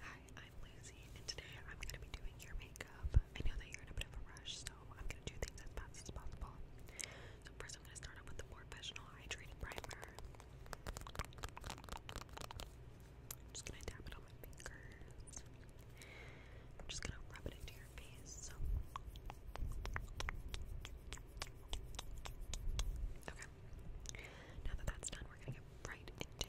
Hi, I'm Lucy, and today I'm going to be doing your makeup. I know that you're in a bit of a rush, so I'm going to do things as fast as possible. So first I'm going to start off with the Professional Hydrating Primer. I'm just going to dab it on my fingers. I'm just going to rub it into your face. Okay. Now that that's done, we're going to get right into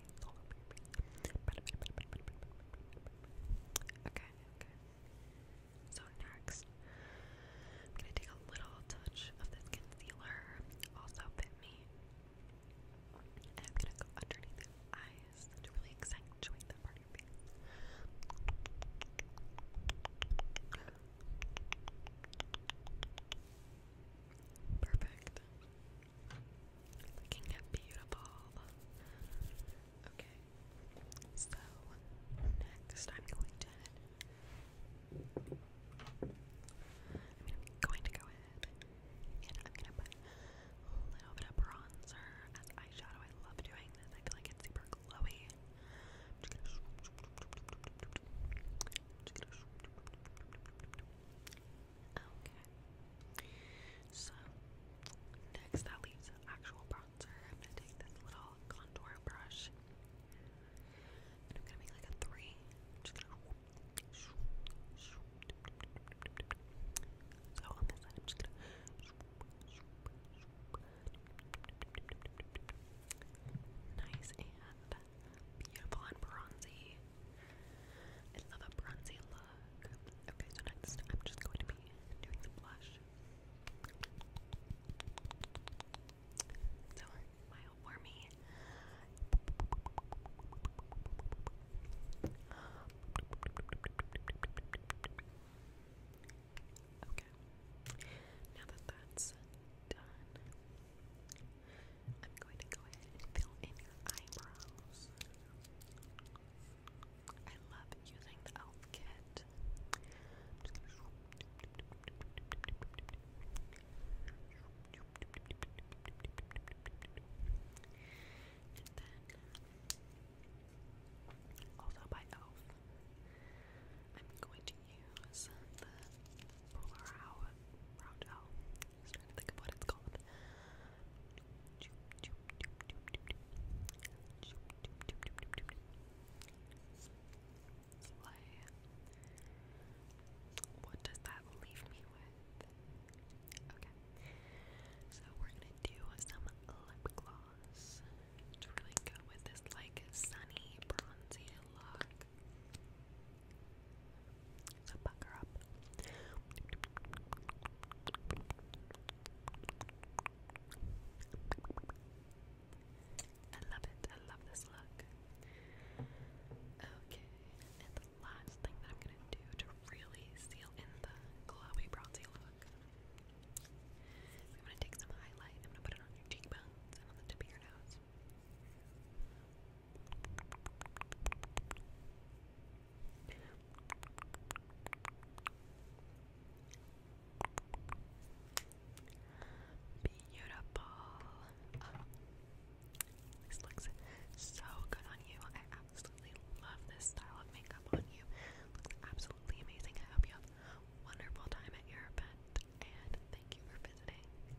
Okay, okay. So next, I'm gonna take a little touch of this concealer, also Fit Me, and I'm gonna go underneath the eyes to really accentuate that part of Perfect. Looking beautiful. Okay, so next I'm going to going to go ahead and I'm gonna put a little bit of bronzer as eyeshadow. I love doing this. I feel like it's super glowy. Okay. So next that leaves actual bronzer. I'm gonna take this little contour brush I'm gonna make like a 3 so on this side I'm just gonna nice and beautiful and bronzy. I love a bronzy look. Okay, so next I'm just going to be doing the blush. So, smile for me. Okay, now that that's done, I'm going to go ahead and fill in your eyebrows. I love using the elf kit. and then also by elf I'm going to use the brow brow gel just trying to what does that leave me with? Okay. So we're gonna do some lip gloss to really go with this like sunny bronzy look. So bucker up. I love it. I love this look. Okay, and the last thing that I'm gonna do to really seal in the glowy bronzy look, I'm gonna take some highlight. I'm gonna put it on your cheekbones and on the tip of your nose. Beautiful. this looks so good on you. I absolutely love this style of makeup on you. Looks absolutely amazing. I hope you have wonderful time at your event and thank you for visiting.